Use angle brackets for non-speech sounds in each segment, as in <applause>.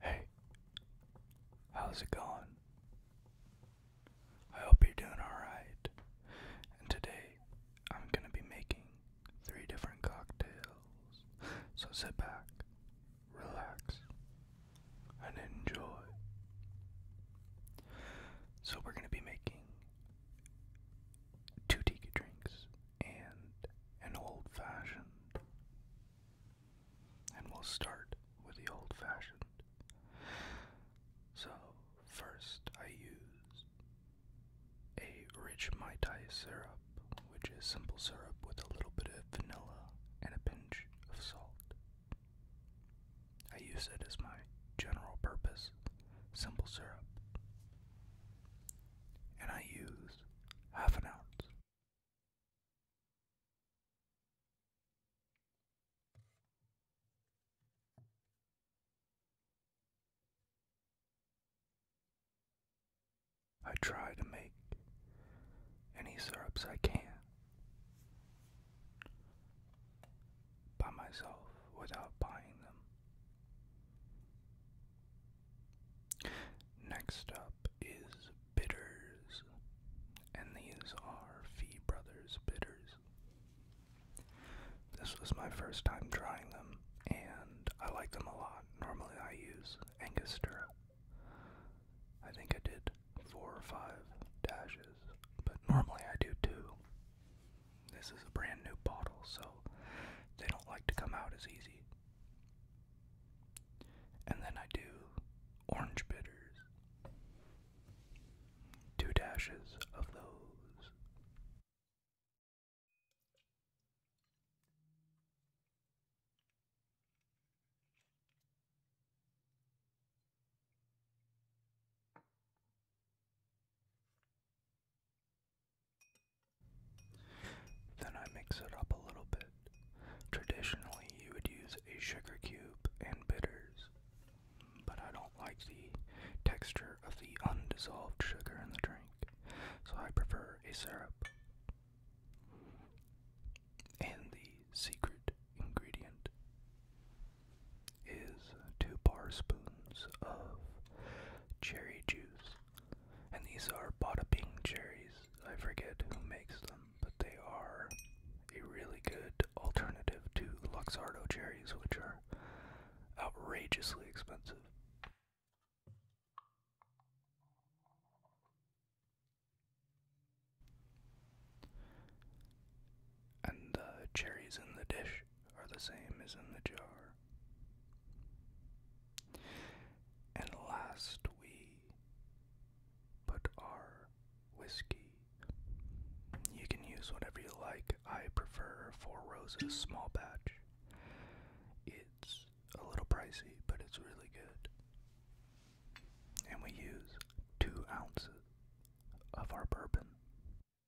Hey, how's it going? I hope you're doing alright. And today I'm going to be making three different cocktails. So sit back, relax, and enjoy. So we're going to be making two tequila drinks and an old fashioned. And we'll start with the old fashioned. So, first I use a rich Mai Tai syrup, which is simple syrup with a little bit of vanilla and a pinch of salt. I use it as my general purpose simple syrup and I use half an ounce. I try to make any syrups I can by myself without buying them. Next up is bitters, and these are Fee Brothers bitters. This was my first time trying them, and I like them a lot. Normally, I use Angostura. I think I did four or five dashes, but normally I do two. This is a brand new bottle, so they don't like to come out as easy. And then I do orange bitters. Two dashes of those. Then I mix it up a little bit. Traditionally, you would use a sugar cube and bitters, but I don't like the texture of the undissolved sugar in the drink, so I prefer a syrup. And the secret ingredient is two bar spoons of cherry juice. And these are Bada Bing cherries. I forget who makes them, but they are a really good alternative to Luxardo cherries, which are outrageously expensive. And the cherries in the dish are the same as in the jar. And last we put our whiskey. You can use whatever you like. I prefer Four Roses small batch. It's a little pricey, but it's really good. And we use two ounces of our bourbon.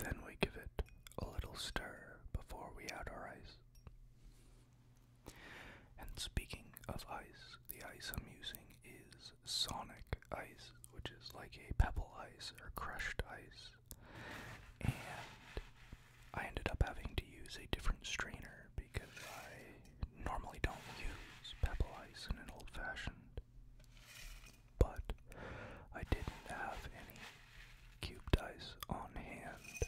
Then we give it a little stir before we add our ice. And speaking of ice, the ice I'm using is sonic ice, which is like a pebble ice or crushed ice. And I ended up having to use a different strainer because I normally don't use pebble ice in an old fashioned but I didn't have any cube dice on hand.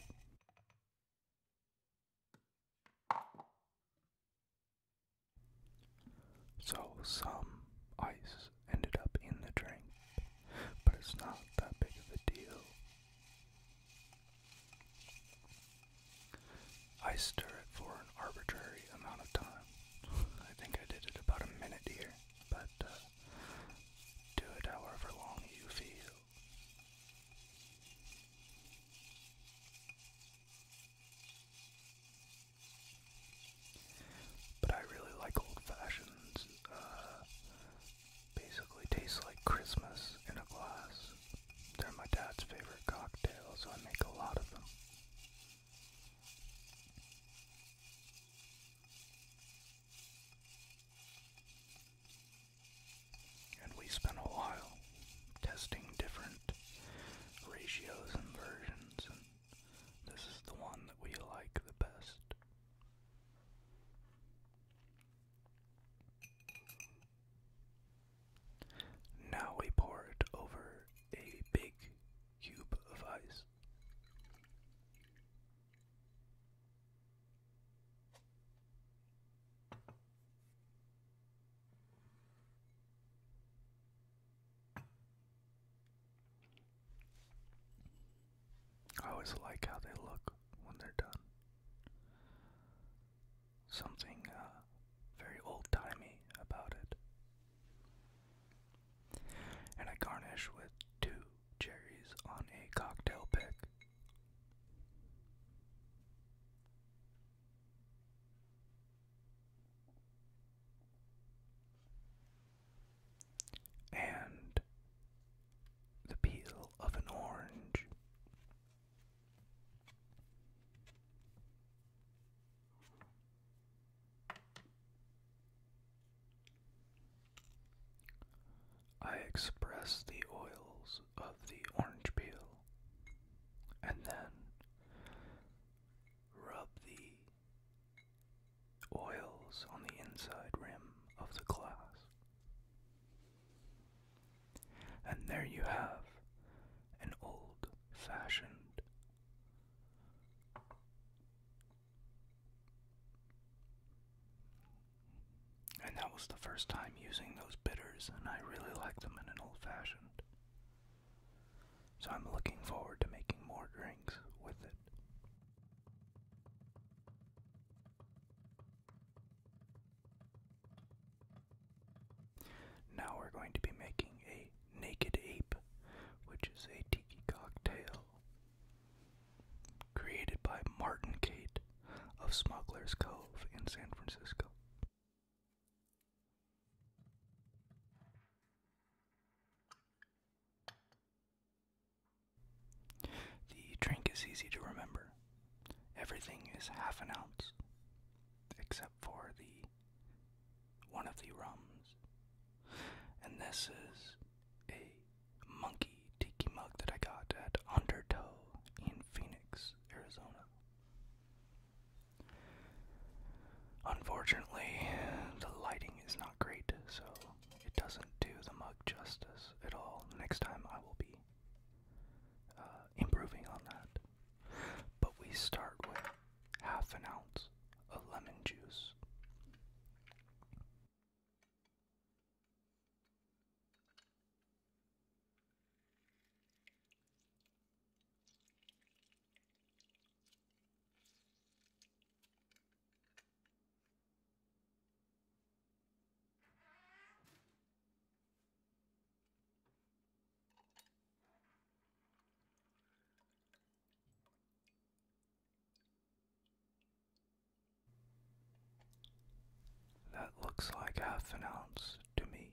So some ice ended up in the drink, but it's not that big of a deal. I stir it for an arbitrary amount of time. <laughs> I think I did it about a minute here but uh, do it however long you feel. But I really like old fashions. Uh, basically, tastes like Christmas in a glass. They're my dad's favorite cocktail, so I make a lot of them. And we spent a while testing different ratios and versions, and this is the one that we like the best. Now we pour it over a big cube of ice. I always like how they look when they're done. Something uh, very old timey about it and I garnish with two cherries on a cocktail pick. And the peel of an orange. I express the oils of the orange peel and then rub the oils on the inside rim of the glass. And there you have an old fashioned and that was the first time using those bitters, and I really like them in an old fashioned. So I'm looking forward to making more drinks with it. Now we're going to be making a Naked Ape, which is a tiki cocktail created by Martin Kate of Smuggler's Cove in San Francisco. The drink is easy to remember. Everything is half an ounce, except for the one of the rums. And this is a monkey tiki mug that I got at Undertow in Phoenix, Arizona. Unfortunately, the lighting is not great, so it doesn't do the mug justice at all. Next time I will be uh, improving on that. But we start with half an ounce of lemon juice. That looks like half an ounce to me.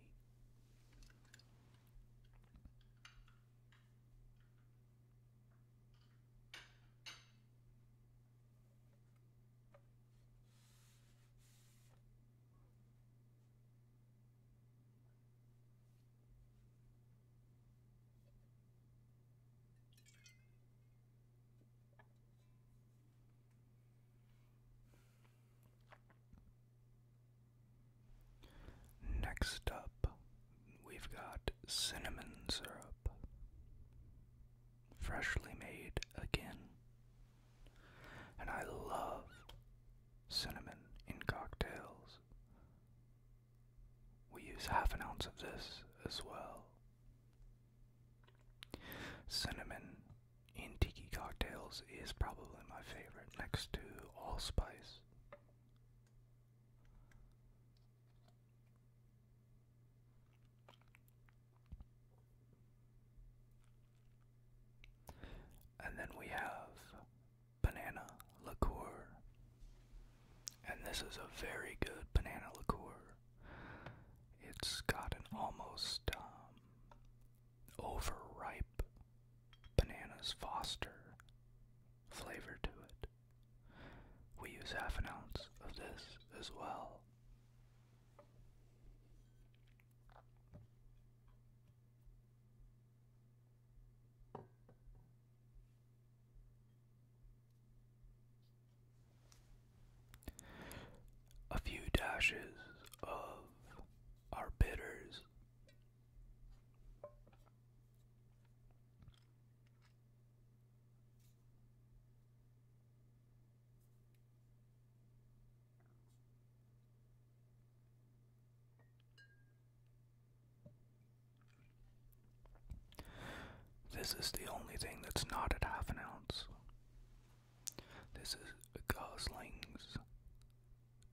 Next up, we've got cinnamon syrup, freshly made again. And I love cinnamon in cocktails. We use half an ounce of this as well. Cinnamon in tiki cocktails is probably my favorite, next to allspice. And then we have banana liqueur. And this is a very good banana liqueur. It's got an almost um, overripe bananas foster flavor to it. We use half an ounce of this as well. A few dashes of our bitters. This is the only thing that's not at half an ounce. This is Gosling's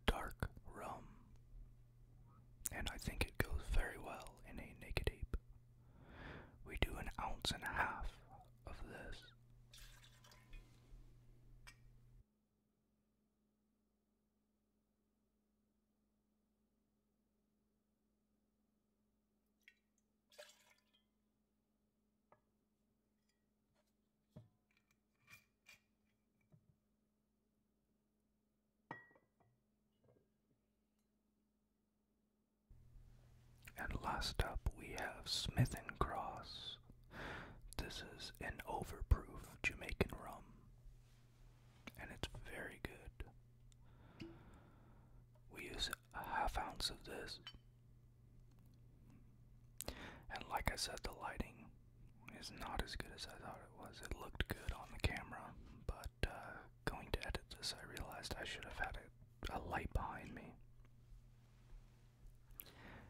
Dark Rum, and I think it goes very well in a naked ape. We do an ounce and a half of this. And last up, we have Smith and Cross. This is an overproof Jamaican rum and it's very good. We use a half ounce of this, and like I said, the lighting is not as good as I thought it was. It looked good on the camera, but uh, going to edit this, I realized I should have had a, light behind me.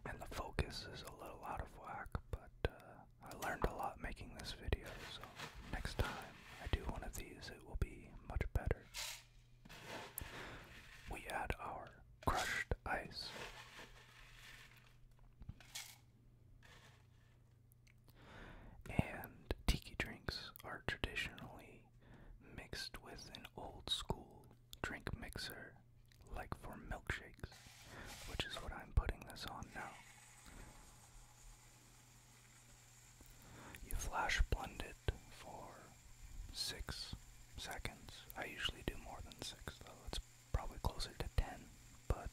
And the focus is a little out of whack, but uh, I learned a lot making this video, so next time I do one of these, it will be much better. We add our crushed ice. And tiki drinks are traditionally mixed with an old school drink mixer, like for milkshakes, which is what I'm putting this on now. You flash blend it for six seconds. I usually do more than six, though. It's probably closer to ten, but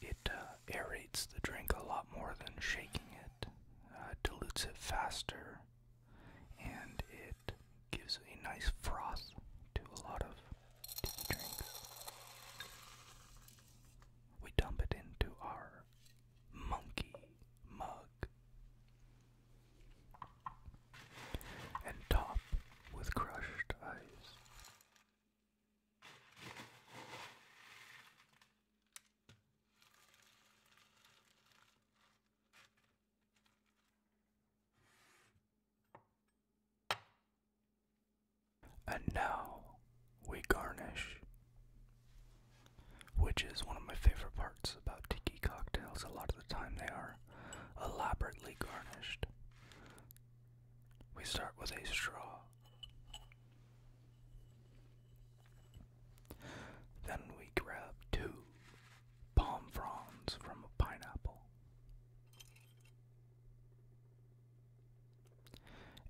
it uh, aerates the drink a lot more than shaking it, uh, dilutes it faster, and it gives a nice froth to a lot of tea drinks. We dump it into our monkey mug and top with crushed ice. And now we garnish, which is one of my favorite parts about tiki cocktails. A lot of the time, they are elaborately garnished. We start with a straw. Then we grab two palm fronds from a pineapple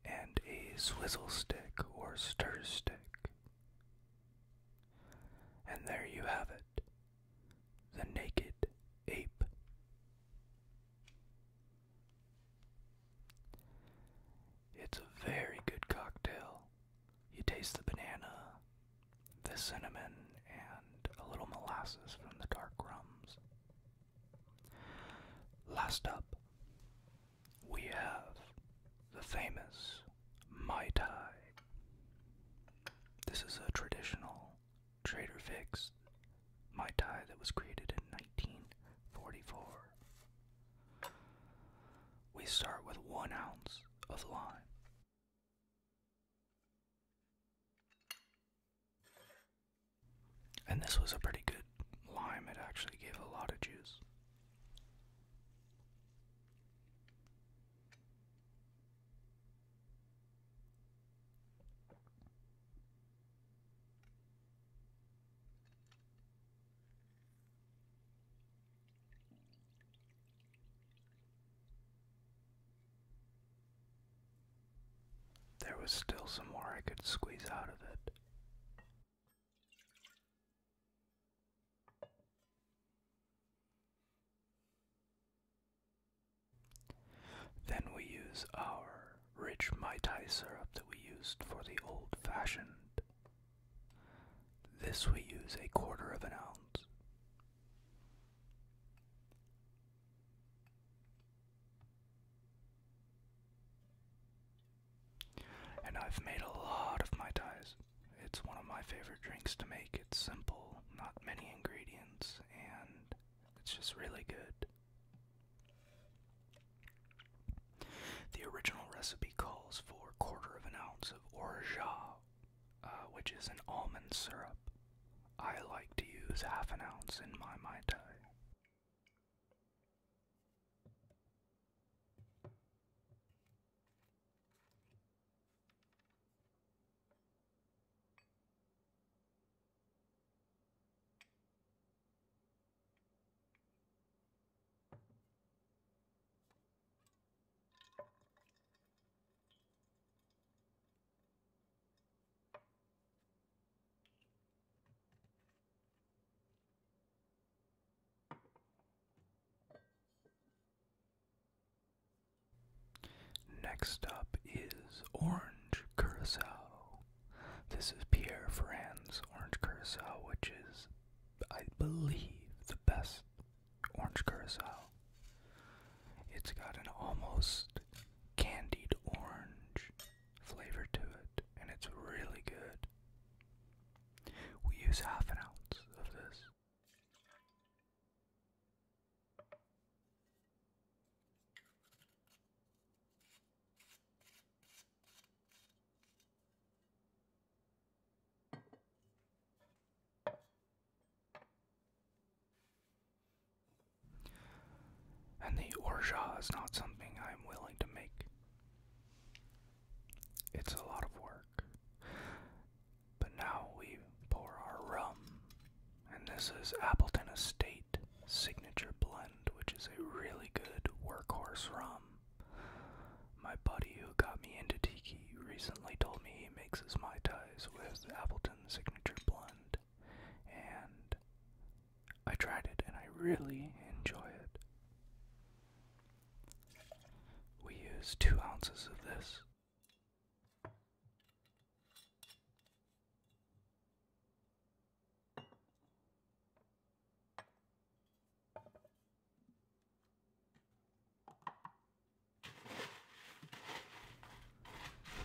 and a swizzle stick or stir stick. And there you have it the naked ape. It's a very good cocktail. You taste the banana, the cinnamon, and a little molasses from the dark rums. Last up, we have the famous Mai Tai. This is a traditional Trader Vic's Mai Tai that was created in 1944. We start with one ounce of lime, and this was a pretty good lime, it actually gave a lot of juice. There was still some more I could squeeze out of it. Then we use our rich Mai syrup that we used for the old fashioned. This we use a quarter of an ounce. And I've made a lot of Mai Tais. It's one of my favorite drinks to make. It's simple, not many ingredients, and it's just really good. The original recipe calls for a quarter of an ounce of orgeat uh, which is an almond syrup. I like to use half an ounce in my Mai Tai. Next up is Orange Curacao. This is Pierre Ferrand's Orange Curacao, which is, I believe, the best Orange Curacao. It's got an almost candied orange flavor to it, and it's really good. We use half an ounce of this. And the orja is not something I'm willing to make. It's a lot of work. But now we pour our rum, and this is Appleton Estate Signature Blend, which is a really good workhorse rum. My buddy who got me into tiki recently told me he makes his Mai with Appleton Signature Blend, and I tried it and I really enjoy it. We use two ounces of this.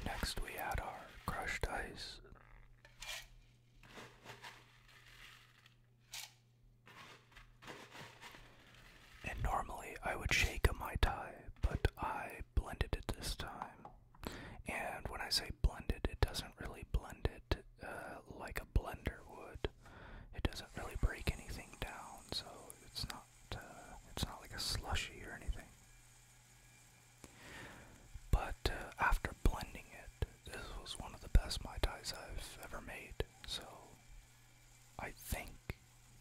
Next, we add our crushed ice. And normally I would shake a Mai Tai, but I blended it this time. And when I say blended, it doesn't really blend it uh, like a blender would. It doesn't really break anything down, so it's not uh, it's not like a slushy or anything. But uh, after blending it, this was one of the best Mai Tais I've ever made. So I think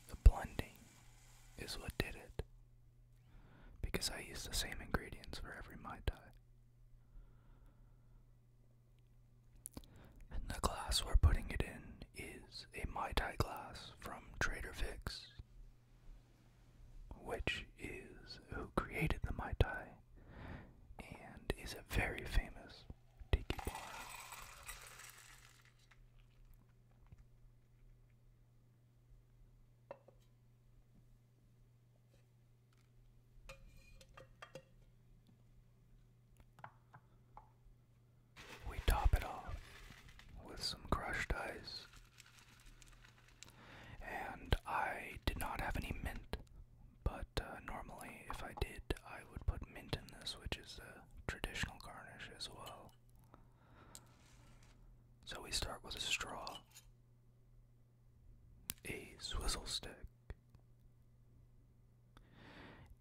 the blending is what did it. Because I use the same ingredients for every Mai Tai. And the glass we're putting it in is a Mai Tai glass from Trader Vic's which is who created the Mai Tai and is a very famous tiki bar we top it off with some crushed ice. And I did not have any mint, but uh, normally, if I did, I would put mint in this, which is a traditional garnish as well. So we start with a straw, a swizzle stick,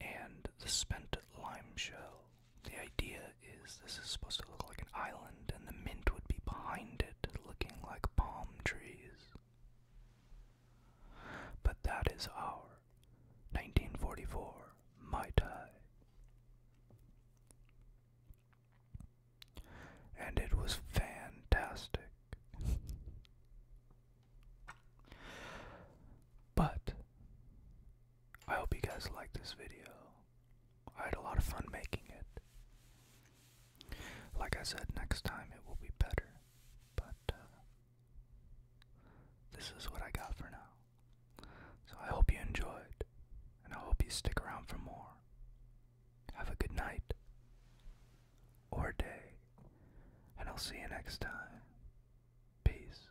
and the spent lime shell the idea is this is supposed to look like an island, and the mint would be behind it, looking like palm trees. But that is our 1944 Mai Tai. And it was fantastic. but I hope you guys like this video. I had a lot of fun making it. Like I said, next time it will be better, but uh, this is what I got for now. So I hope you enjoyed, and I hope you stick around for more. Have a good night or day, and I'll see you next time. Peace.